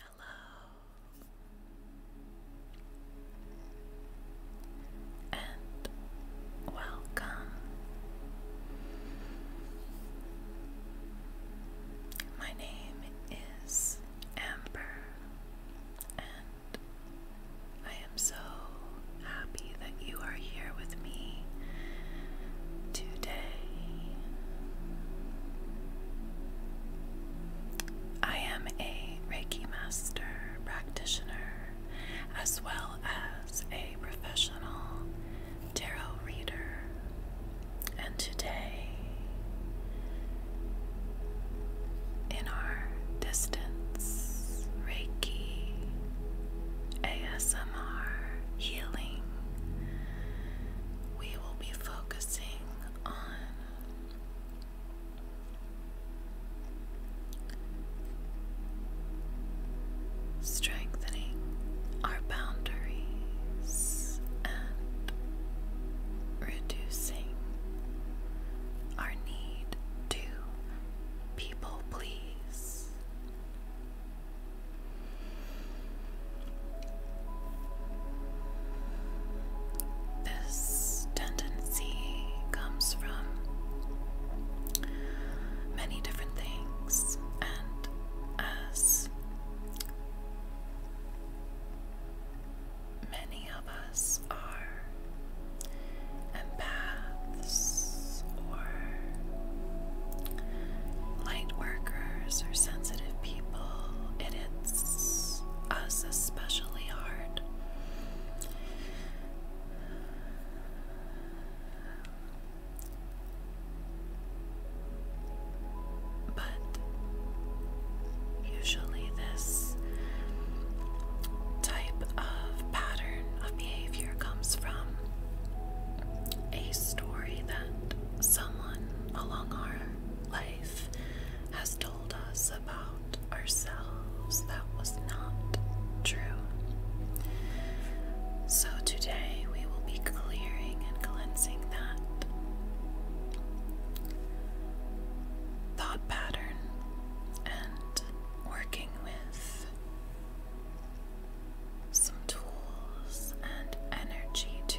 Hello, and welcome. My name is Amber, and I am so happy that you are here with today. I am a Reiki master practitioner as well as a professional tarot reader, and today. In our distance Reiki ASMR healing we will be focusing on strengthening our boundaries and reducing our need to people please. This tendency comes from many different things, and as many of us are empaths or light workers or sensitive people, it hits us especially hard. But usually, this type of pattern of behavior comes from a story that someone along our life has told us about ourselves that was not true. So today we will be clearing and cleansing that. Thought pattern and working with some tools and energy to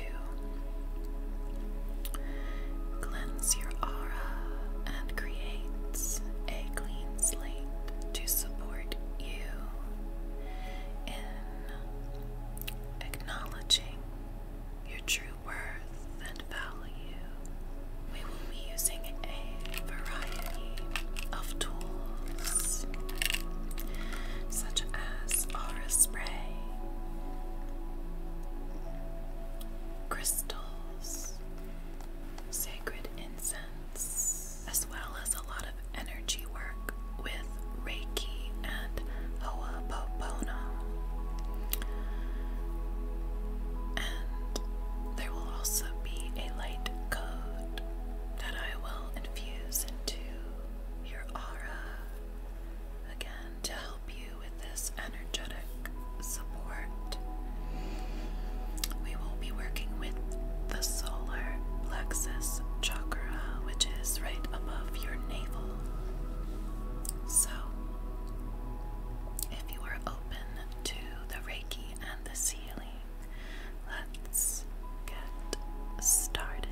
cleanse your aura and creates a clean slate to support you in acknowledging your true worth and value. We will be using a variety of tools such as aura spray, crystals, sacred incense, as well as a lot of energy work with Reiki and Ho'oponopono. And there will also be a light code that I will infuse into your aura again to help you with this energetic support. We will be working with the solar plexus chakra, which is right above your navel. So, if you are open to the Reiki and the sealing, Let's get started.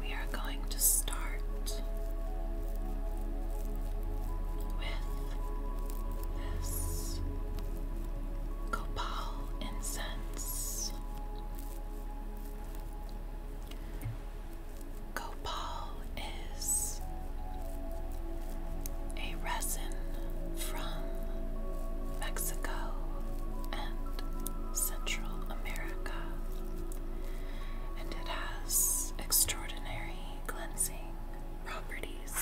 We are going to start with this copal incense. Copal is a resin from Mexico and Central America. And it has extraordinary cleansing properties.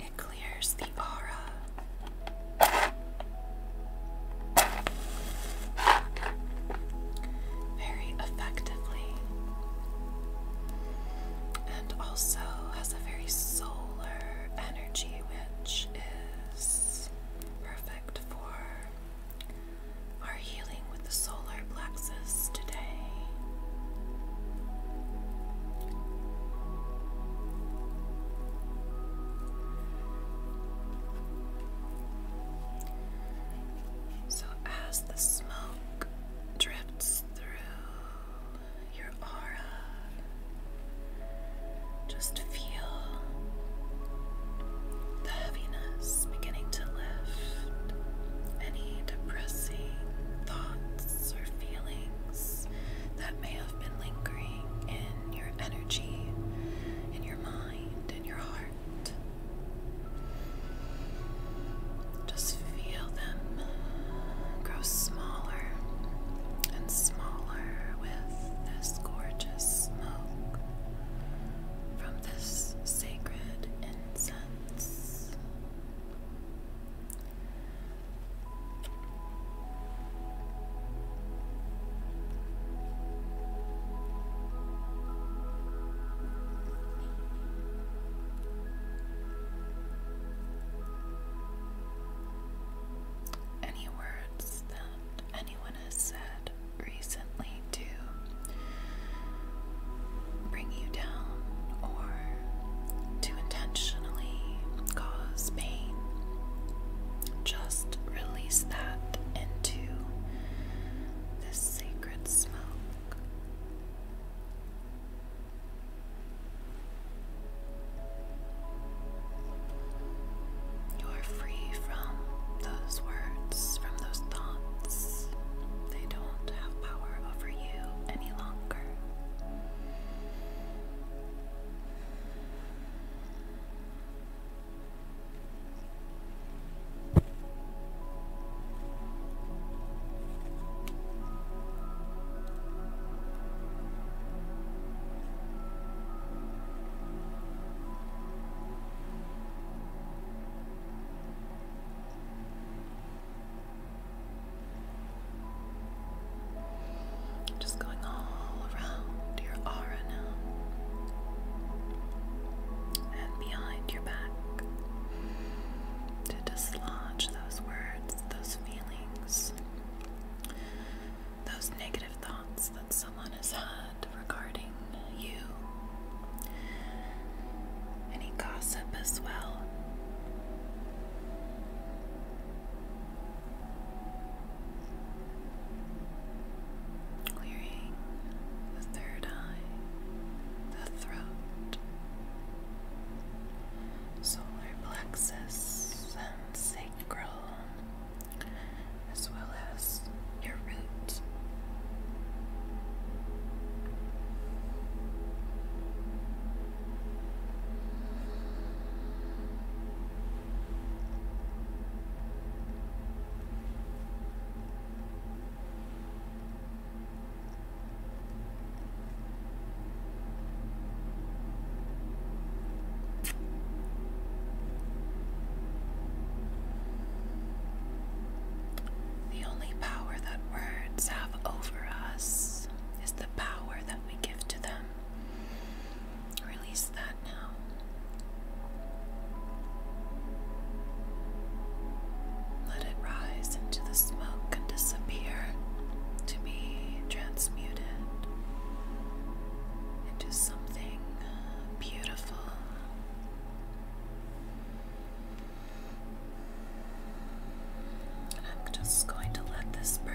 It clears the aura. Very effectively, and also has a very solar energy, which is perfect for our healing with the solar plexus today. So, as the smoke drifts through your aura, just feel the heaviness beginning to lift. Any depressing thoughts or feelings that may have been lingering in your energy, in your mind, in your heart. Just feel them grow smaller and smaller with this this gorgeous smoke from this sacred incense. Any words and anyone has said recently to bring you down or to intentionally cause pain, just release that into this sacred smoke. You are free from those words, from those thoughts. They don't have power over you any longer. Just going all around your aura now and behind your back to dislodge those words, those feelings those negative thoughts that someone has had regarding you. Any gossip as well. Clearing the third eye, the throat, solar plexus, and sacral as well as your root. The only power that words have over us is the power that we give to them. Release that now. Let it rise into the smoke and disappear to be transmuted into something uh, beautiful. I'm just going to let this burn.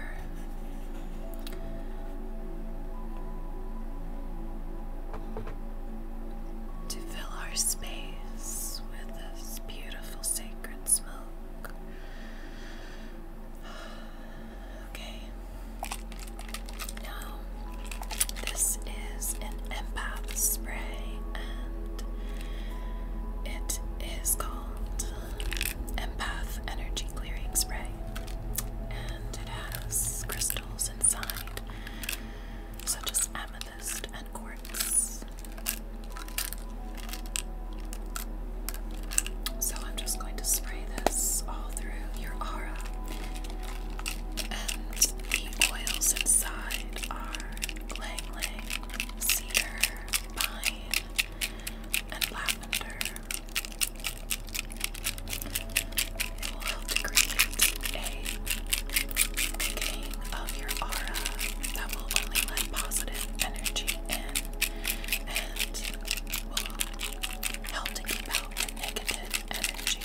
To fill our space with this beautiful sacred smoke. Okay. Now, this is an empath spray, and it is called Empath Energy Clearing Spray. And it has crystals inside, such as amethyst and quartz. So I'm just going to spray this all through your aura. And the oils inside are Lang Cedar, Pine, and Lavender. It will create a thickening of your aura that will only let positive energy in and will help to keep out the negative energy.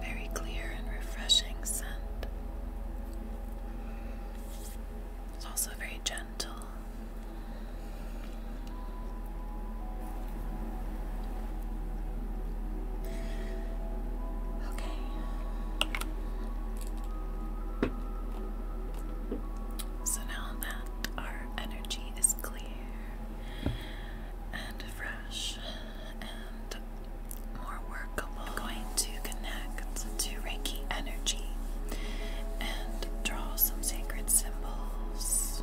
Very clear and refreshing scent. It's also very gentle. Okay. So now that our energy is clear and fresh and more workable, I'm going to connect to Reiki energy and draw some sacred symbols.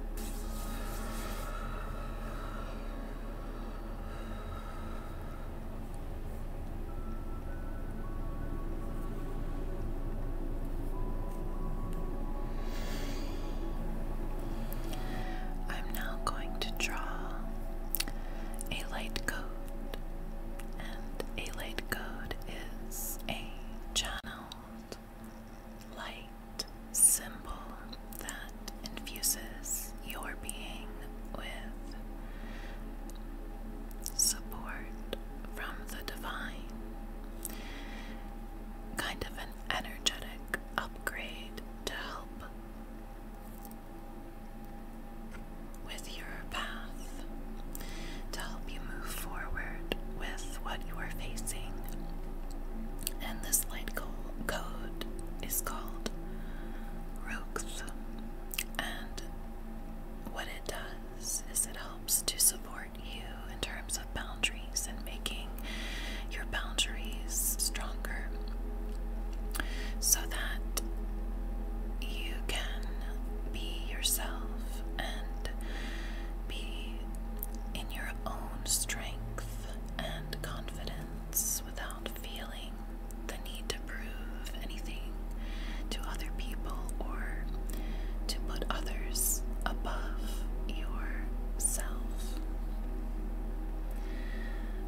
I'm now going to draw a light code, and a light code is a channeled light symbol that infuses your being with support from the divine. Kind of an energetic upgrade to help with your path, to help you move forward with what you are facing. And this light code is called Rooks. And what it does is it helps to support you in terms of boundaries and making your boundaries stronger so that you can be yourself and be in your own strength and confidence without feeling the need to prove anything to other people or to put others above yourself.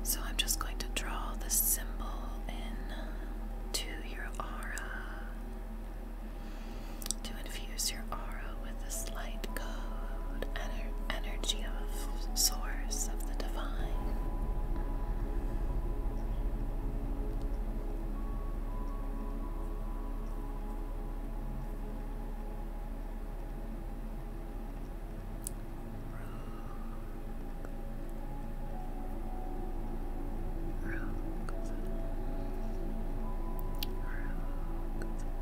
So I'm just going to draw this symbol in to your aura to infuse your aura with a slight code energy of source of the divine.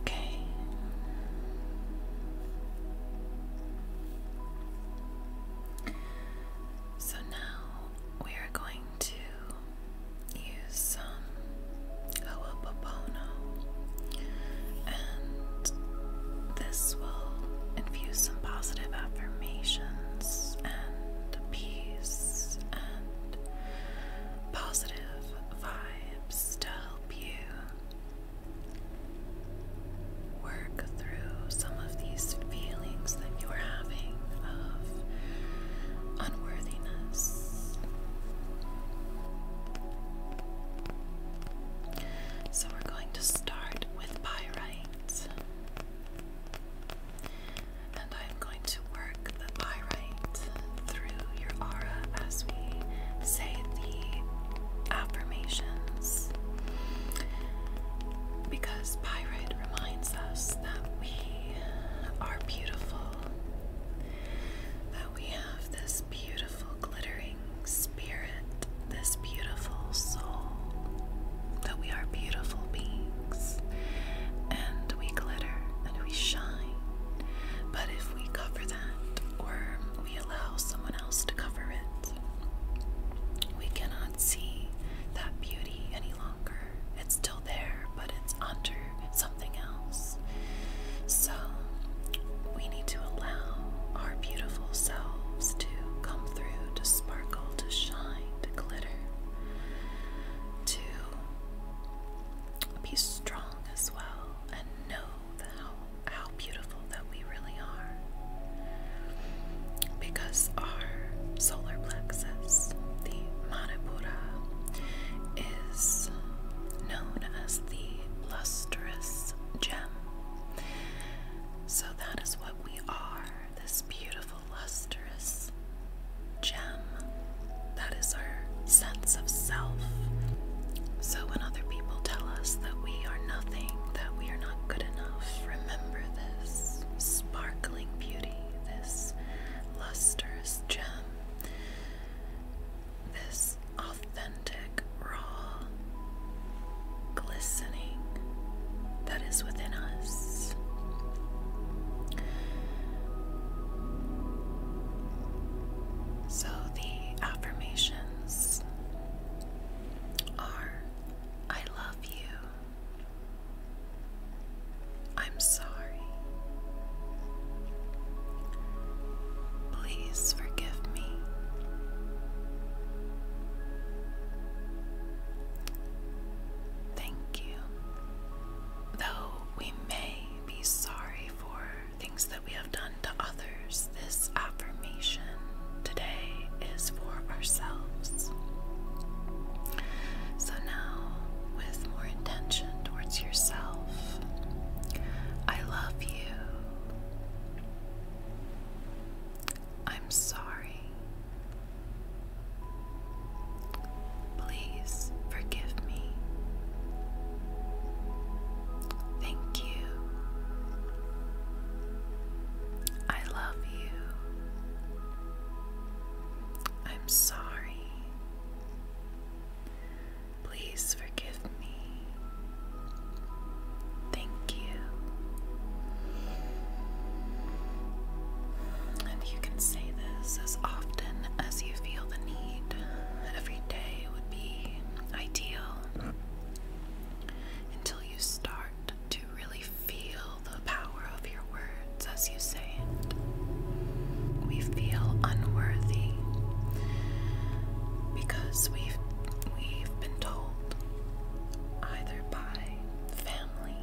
Okay. So now we are going to use um, some Ho'oponopono, and this will infuse some positive affirmations and peace and positive vibes to help you work through some of these feelings that you are having of unworthiness so we're going to start with pyrite. And I'm going to work the pyrite through your aura as we say the affirmations. Because pyrite reminds us that we are beautiful, we have this beautiful glittering spirit, this beautiful soul, that we are beautiful beings and we glitter and we shine. But if we cover that or we allow someone else to cover it, we cannot see that beauty any longer. It's still there, but it's under something else. So we need to allow our beautiful selves to come through, to sparkle, to shine, to glitter, to be strong as well, and know how, beautiful that we really are. Because our solar plexus, the Manipura, is known as the lustrous gem. So that is what we are this beautiful, lustrous gem. That is our sense of self. So when other people tell us that we are nothing, that we are not good enough, remember this sparkling beauty, this lustrous gem this authentic, raw glistening that is within us. So the affirmations are I love you. I'm sorry. Please forgive me. Thank you. Though we may be sorry for things that we have done to others, this affirmation today is for ourselves. So now, with more intention towards yourself, I love you. I'm sorry. Please forgive me. Thank you. I love you. I'm sorry. Please forgive me. Thank you. And you can say this as often as you feel the need. Every day would be ideal until you start to really feel the power of your words as you say it. We feel unworthy because we've we've been told either by family,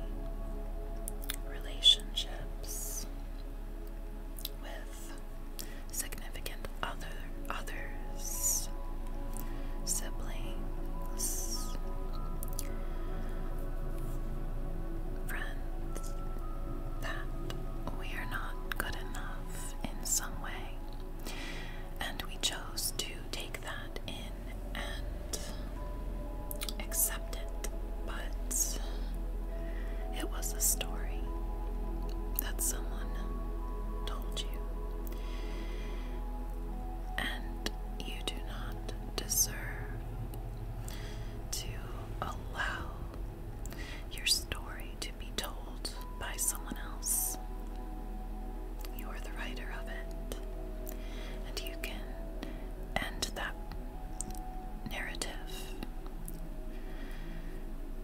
relationships with significant other others, siblings, friends that we are not good enough in some way. And we chose to take that in and accept it, but it was a story that someone told you. And you do not deserve to allow your story to be told by someone else. You are the writer of it, and you can end that narrative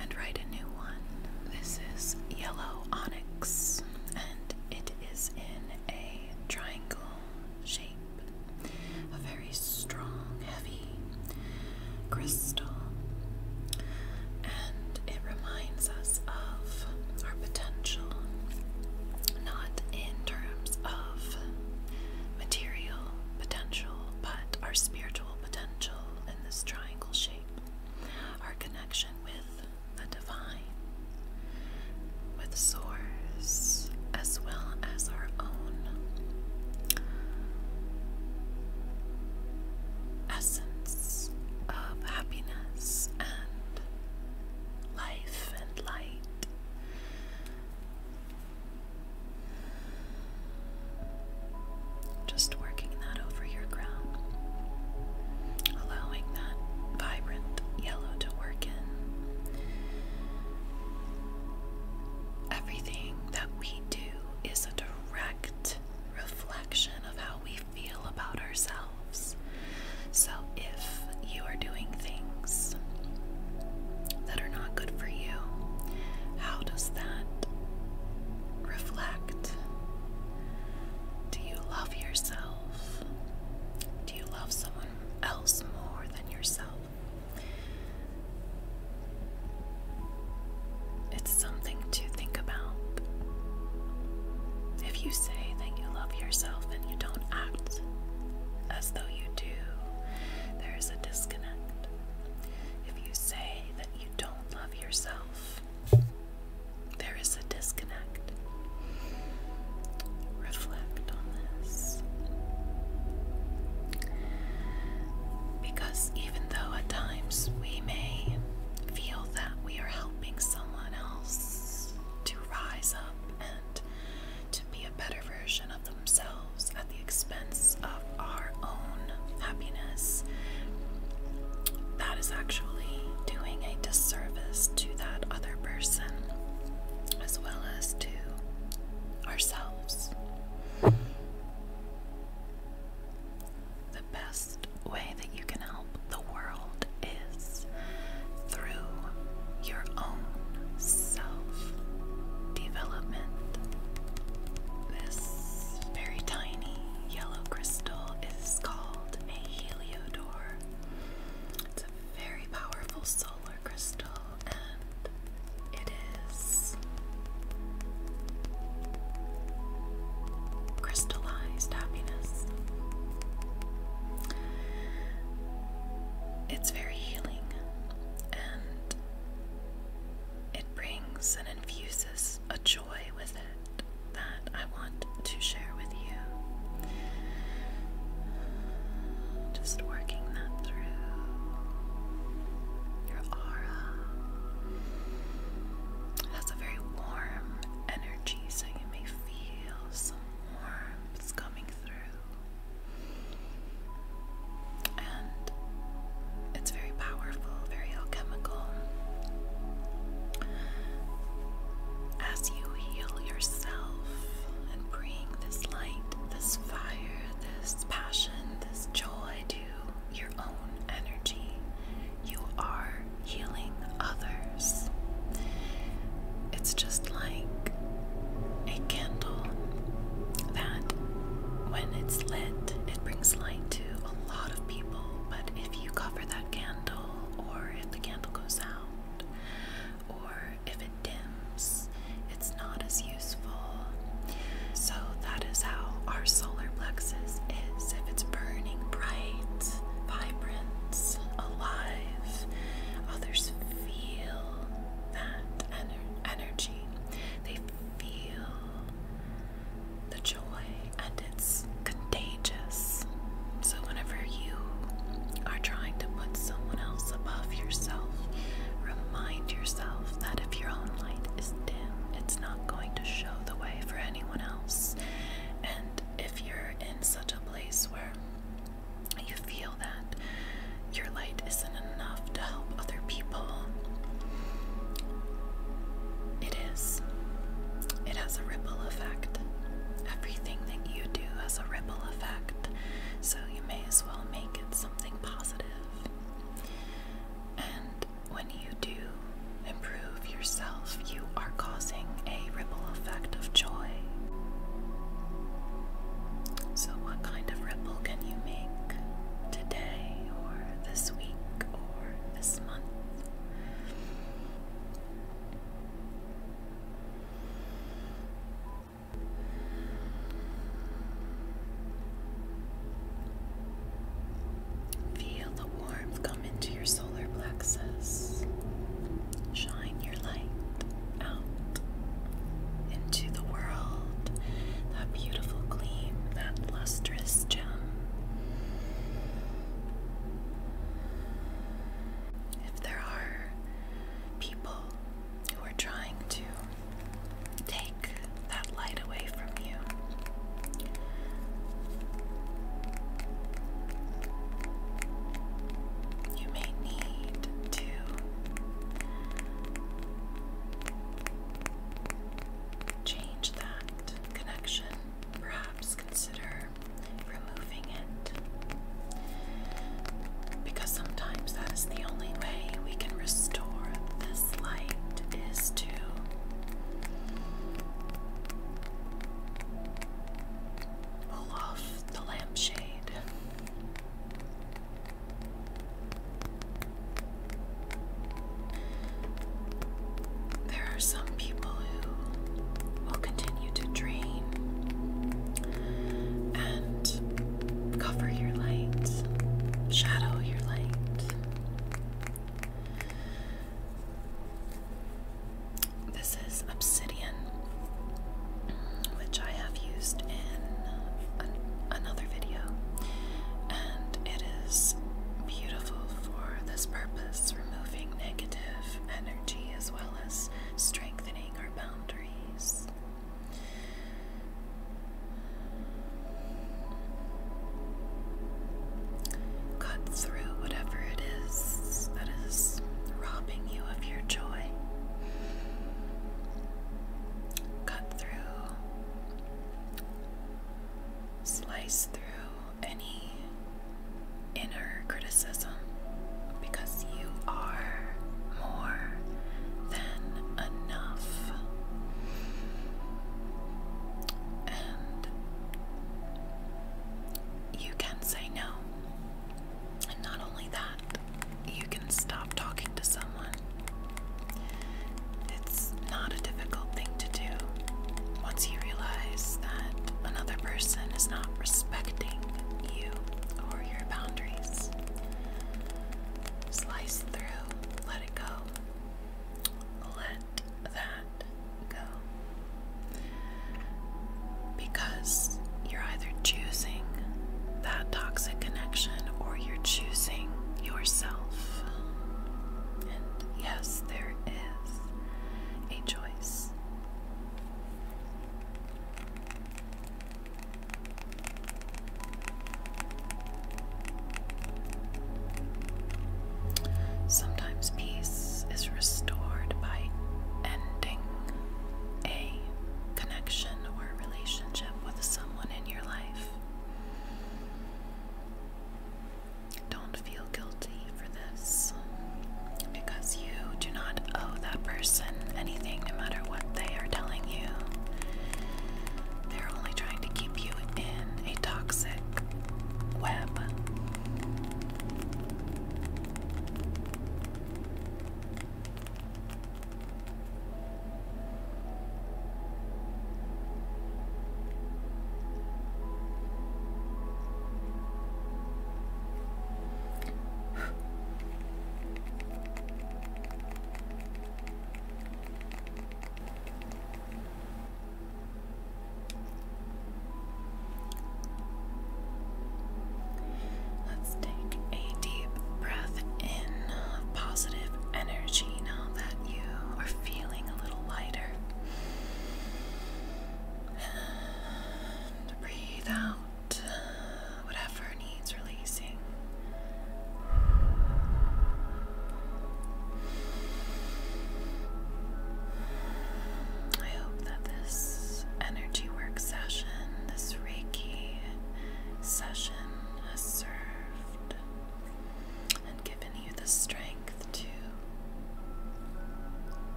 and write a new one. This is yellow onyx, and it is in a triangle shape a very strong, heavy crystal, and it reminds us of our potential, not in terms of material potential, but our spiritual potential in this triangle shape, our connection with the divine, with source, as well as our own essence of happiness and life and light. Just working that over your crown, allowing that vibrant yellow to work in. Everything that we do is a direct reflection of how we feel about ourselves. So if you are doing things that are not good for you, how does that reflect? Do you love yourself? Do you love someone else more than yourself? It's something to think about. If you say that you love yourself and you don't act as though you do, there is a disconnect. If you say that you don't love yourself, there is a disconnect. Reflect promise. Because even though at times we may feel that we are helping someone else to rise up and to be a better version of themselves at the expense of our own happiness, that is actually doing a disservice to that other person as well as to ourselves. The best way that you can help the world is through your own self development. This very tiny yellow crystal is called a heliodor. It's a very powerful solar crystal it is crystallized happiness. It's very healing and it brings and infuses a joy with it that I want to share with you. Just working that through. Your aura has a very warm energy, so you may feel some warmth coming through. And it's very powerful, very alchemical. As you heal yourself and bring this light, this fire, this passion this joy to your own energy. You are healing others. It's just like a candle that, when it's lit, it brings light to a lot of people. But if you cover that candle, or if the candle goes out, or if dims, it's not as useful. So, that is how our solar plexus is. If it's burning bright, vibrant, alive, others feel that energy. They feel the joy, and it's contagious. So, whenever you are trying to put someone else above yourself, remind yourself that if your own light is dim, it's not going to show the way for anyone else. And if you're in such a place where you feel that your light isn't enough to help other people, it is. It has a ripple effect. Everything that you do has a ripple effect, so you may as well make it something positive. And when you do improve yourself, you are causing a ripple effect of joy. So, what kind of ripple can you make today, or this week, or this month? Feel the warmth come into your solar plexus. Shine your light out into the world. That beautiful gleam, that lustrous gem. If there are people who are trying to take that light away from you. You may need to change that connection, perhaps consider removing it because sometimes that is the only way we can restore this light is to pull off the lampshade. There are some people who will continue to dream and cover your light, shadow your light. This is obsidian, which I have used in another video, and it is beautiful for this purpose removing negative energy as well as strengthening our boundaries. Cut through whatever it is that is robbing you of your joy. Cut through, slice through any inner criticism because you are more than enough. And you can say no. And not only that, you can stop talking to someone. It's not a difficult thing to do once you realize that another person is not respecting you or your boundaries. Slice through, let it go. Let that go. Because you're either choosing that toxic connection or you're choosing yourself. And yes, there is a choice. Sometimes peace is restored by ending a connection or relationship with someone in your life. Don't feel guilty for this because you do not owe that person anything, no matter what they are telling you. They're only trying to keep you in a toxic web. Let's take a deep breath in of positive energy now that you are feeling a little lighter. breathe out uh, whatever needs releasing. I hope that this energy work session, this Reiki session, has served and given you the strength to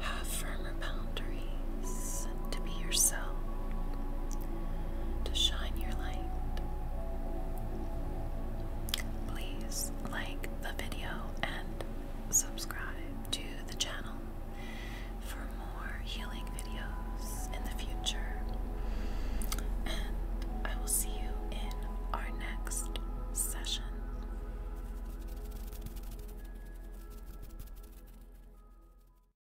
have firmer boundaries to be yourself, to shine your light. Please like the video and subscribe to the channel for more healing videos in the future. And I will see you in our next session.